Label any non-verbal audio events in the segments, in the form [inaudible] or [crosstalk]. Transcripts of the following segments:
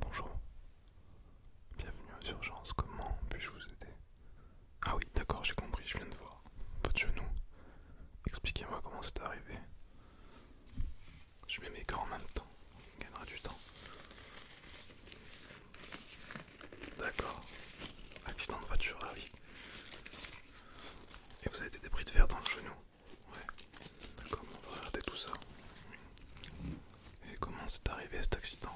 Bonjour, bienvenue aux urgences, comment puis-je vous aider Ah oui, d'accord, j'ai compris, je viens de voir. Votre genou, expliquez-moi comment c'est arrivé. Je mets mes gants en même temps, on gagnera du temps. D'accord, accident de voiture, ah oui. Et vous avez des débris de verre dans le genou Ouais. D'accord, on va regarder tout ça. Et comment c'est arrivé cet accident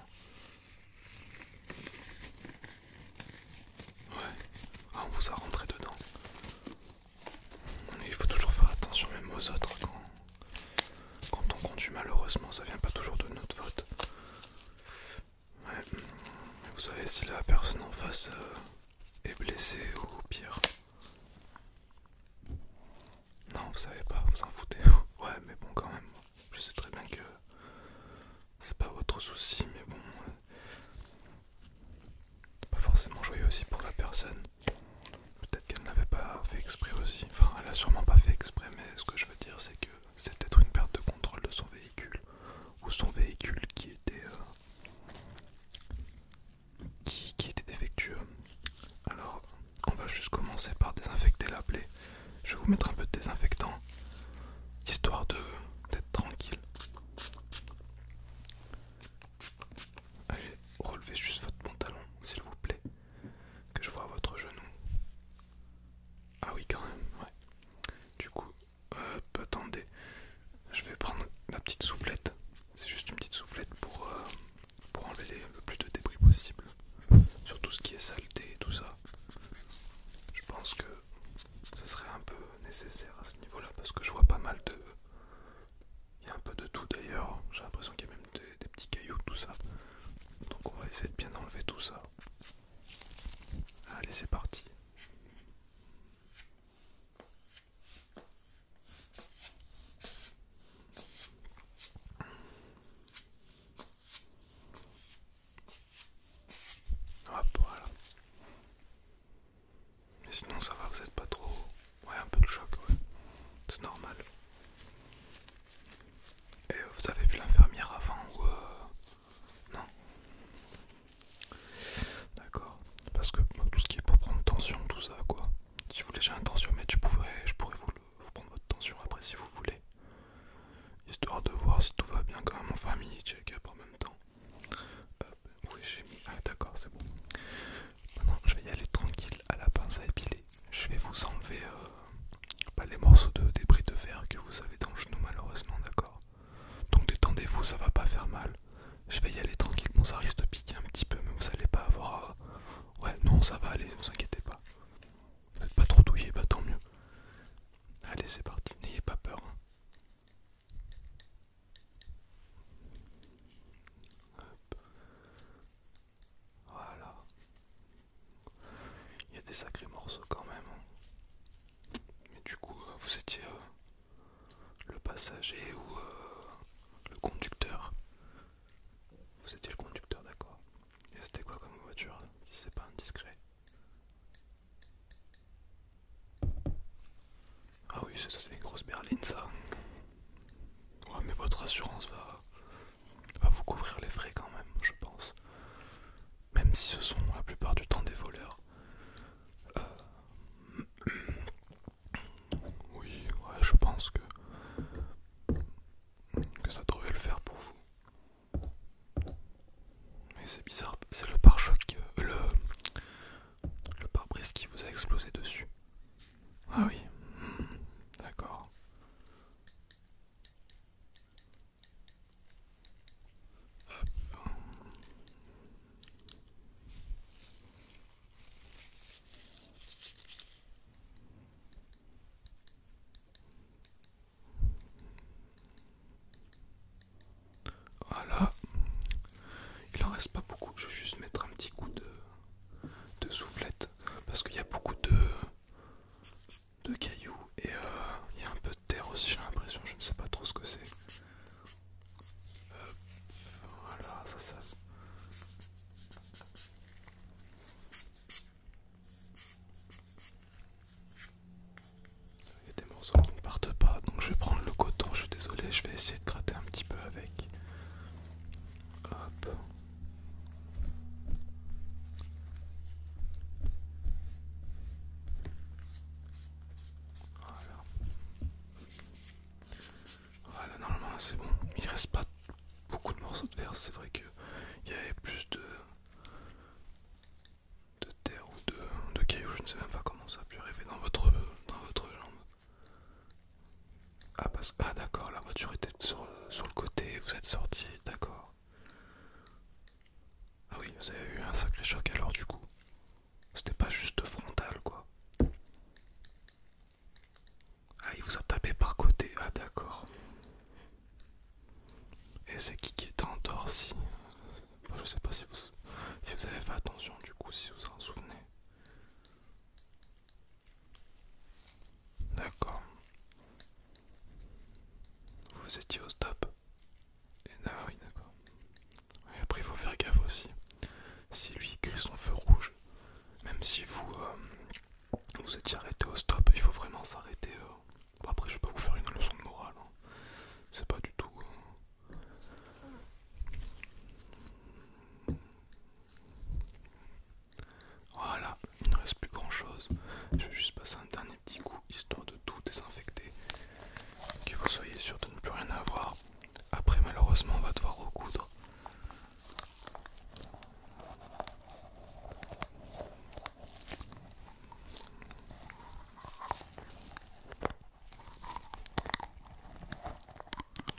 Ouais. Ah, on vous a rentré dedans. il faut toujours faire attention même aux autres quand, quand on conduit malheureusement, ça vient pas toujours de notre faute. Ouais. Vous savez si la personne en face euh, est blessée ou pire. Non, vous savez pas, vous en foutez. [laughs] Ouais, mais bon, quand même. Je sais très bien que c'est pas votre souci, mais bon. pas forcément joyeux aussi pour la personne. Peut-être qu'elle n'avait pas fait exprès aussi. Enfin, elle a sûrement pas fait exprès, mais ce que je veux dire, c'est que c'est peut-être une perte de contrôle de son véhicule ou son véhicule qui était euh, qui, était défectueux. Alors on va juste commencer par désinfecter la plaie. Je vais vous mettre un peu de désinfectant histoire de d'être tranquille. Allez, relevez juste votre pantalon, s'il vous plaît, que je vois votre genou. Ah oui, quand même, ouais. Du coup, attendez, je vais prendre la petite soufflette. C'est juste une petite soufflette pour, euh, enlever le plus de débris possible sur tout ce qui est saleté et tout ça. Je pense que ce serait un peu nécessaire à ce niveau-là parce que je vois pas mal de. Il y a un peu de tout d'ailleurs, j'ai l'impression qu'il y a même des petits cailloux, tout ça. Donc on va essayer de bien enlever tout ça. Allez, c'est parti. Hop, voilà. Mais sinon ça va, vous êtes pas trop... Ouais, un peu de choc, ouais. C'est normal. Et vous avez vu l'infirmière avant ou euh, non D'accord. Parce que tout ce qui est pour prendre tension, tout ça, quoi. Si vous voulez, j'ai un tension je je pourrais vous, prendre votre tension après si vous voulez. Histoire de voir si tout va bien quand même en famille, check-up en même temps. oui, j'ai mis. Ah, d'accord, c'est bon. Maintenant, je vais y aller tranquille à la pince à épiler. Je vais vous enlever euh, les morceaux de débris de verre que vous avez dans le genou malheureusement, d'accord Donc détendez-vous, ça va pas faire mal. Je vais y aller tranquillement, ça risque de piquer un petit peu, mais vous allez pas avoir Ouais, non, ça va aller, vous inquiétez pas. Vous n'êtes pas trop douillé, bah tant mieux. Allez, c'est parti, n'ayez pas peur. Hein. Voilà. Il y a des sacrés morceaux quand même. Hein. Mais du coup, euh, vous étiez euh, le passager ou euh, le conducteur Vous étiez le conducteur, d'accord. Et c'était quoi comme voiture, si c'est pas indiscret Ah oui, c'est une grosse berline ça. Ouais, mais votre assurance va, va vous couvrir les frais quand même, je pense. Même si ce sont la plupart du temps des voleurs. Euh, oui, je pense que que ça devrait le faire pour vous. Mais c'est bizarre, c'est le pare-choc, euh, le le pare-brise qui vous a explosé dessus. Ah oui, d'accord. Voilà, il en reste pas beaucoup, je vais juste mettre un petit coup de de soufflette parce qu'il y a beaucoup de, cailloux et euh, il y a un peu de terre aussi j'ai l'impression je ne sais pas trop ce que c'est voilà ça ça il y a des morceaux qui ne partent pas donc je vais prendre le coton je suis désolé je vais essayer de gratter un petit peu avec Hop. Voilà. Voilà, normalement c'est bon. Il reste pas beaucoup de morceaux de verre, c'est vrai que il y avait plus de de terre ou de, de cailloux, je ne sais même pas comment ça a pu arriver dans votre dans votre jambe. Ah, parce... ah d'accord, la voiture était sur, le côté, vous êtes sorti, d'accord. Ah oui, vous avez eu un sacré choc alors du coup. C'était pas juste frontal quoi. Ah, il vous a tapé par côté, ah d'accord. Et c'est qui qui est dehors, si Je sais pas si vous, si vous avez fait attention du coup, si vous en souvenez. D'accord. Vous étiez au stop. Et d'accord. après, il faut faire gaffe aussi. Si lui crie son feu rouge, même si vous euh, vous étiez arrêté au stop, il faut vraiment s'arrêter. Euh. après, je vais pas vous faire une leçon de morale. Hein. C'est pas du tout. Euh, voilà, il ne reste plus grand chose. Je vais juste passer un dernier petit coup histoire de tout désinfecter. Que vous soyez sûr de ne plus rien avoir. Après, malheureusement, on va devoir recoudre.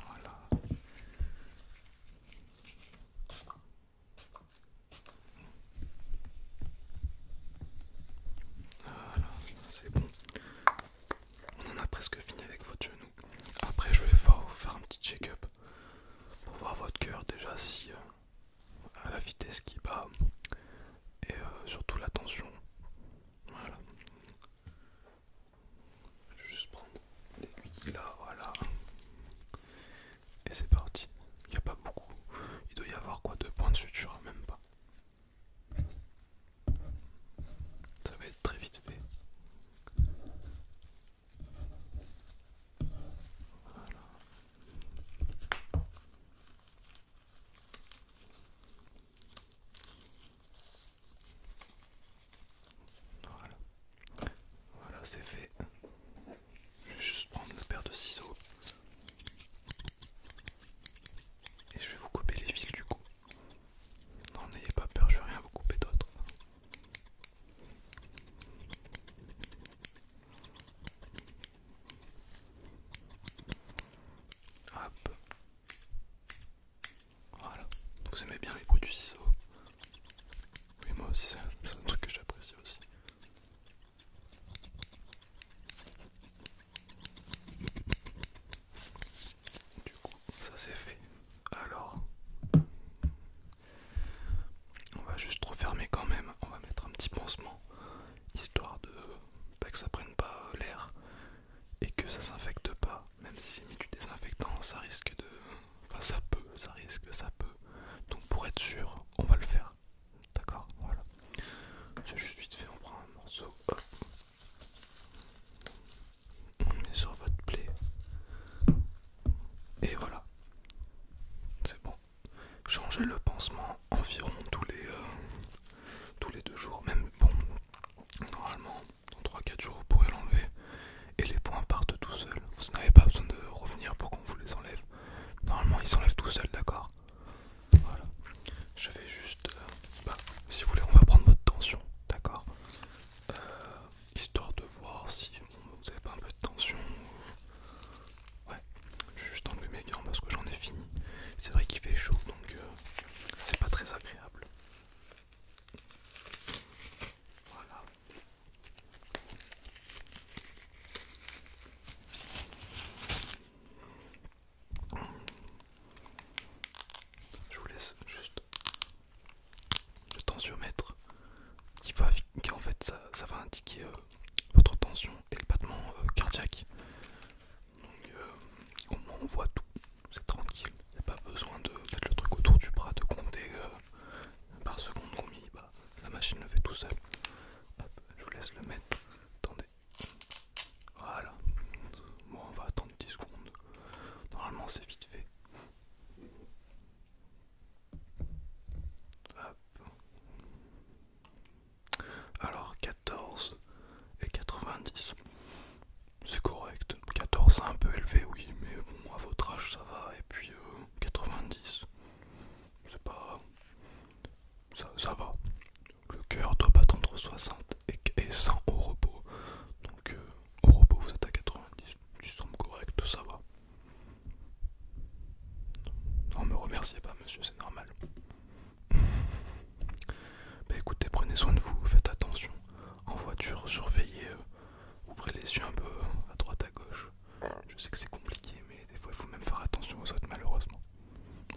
Voilà. c'est bon. On en a presque fini avec votre genou. Après, je vais vous faire un petit check-up pour voir votre cœur déjà si euh, à la vitesse qui bat et euh, surtout la tension voilà. Je vais juste prendre l'aiguille là, voilà. Et c'est parti. Il n'y a pas beaucoup. Il doit y avoir quoi de points de suture, même pas. Ça va être très vite fait. Voilà. Voilà, voilà c'est fait. Je vais juste prendre une paire de ciseaux et je vais vous couper les fils du coup. Non, n'ayez pas peur, je vais rien vous couper d'autre. Hop. Voilà. Vous aimez bien les bruits du ciseau Oui, moi aussi, c'est un truc que j'apprécie aussi. Du coup, ça c'est fait. Alors, on va juste refermer quand même. On va mettre un petit pansement, histoire de pas que ça prenne pas euh, l'air et que ça s'infecte pas. Même si j'ai mis du désinfectant, ça risque de. Enfin, ça peut, ça risque, ça peut. Donc, pour être sûr, on va le faire. D'accord Voilà. J'ai juste vite fait, on prend un morceau. On met sur votre plaie. Et voilà. C'est bon. Changer le pansement environ tous les, euh, tous les deux jours. Même bon, normalement, dans 3-4 jours, vous pourrez l'enlever et les points partent tout seuls. Vous n'avez pas besoin de revenir pour qu'on vous les enlève. Normalement, ils s'enlèvent tout seuls, d'accord Je vais juste. Euh, bah, si vous voulez, on va prendre votre tension, d'accord euh, Histoire de voir si vous avez pas un peu de tension. Ouais, je vais juste enlever mes gants parce que j'en ai fini. C'est vrai qu'il fait chaud donc euh, c'est pas très agréable. Voilà. Je vous laisse juste le tensiomètre qui va qui en fait ça, va indiquer euh, votre tension et le battement euh, cardiaque. Donc euh, au moins on voit tout, c'est tranquille, il n'y a pas besoin de mettre le truc autour du bras, de compter euh, par seconde combien la machine le fait tout seul. je vous laisse le mettre, attendez, voilà, bon on va attendre 10 secondes, normalement c'est vite fait. Alors 14 et 90. C'est correct. 14 c'est un peu élevé, oui, mais bon, à votre âge ça va. Et puis 90. Euh, c'est pas... Ça, va. Le cœur doit battre entre 60 et 100 au repos. Donc euh, au repos vous êtes à 90. ça semble correct, ça va. Non, me remerciez pas, monsieur, c'est normal. [laughs] bah écoutez, prenez soin de vous, faites attention. En voiture, surveillez, euh, ouvrez les yeux un peu à droite, à gauche. Je sais que c'est compliqué, mais des fois il faut même faire attention aux autres, malheureusement.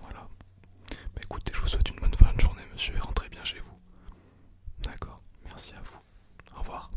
Voilà. Bah écoutez, je vous souhaite une bonne fin de journée, monsieur, et rentrez bien chez vous. D'accord, merci à vous. Au revoir.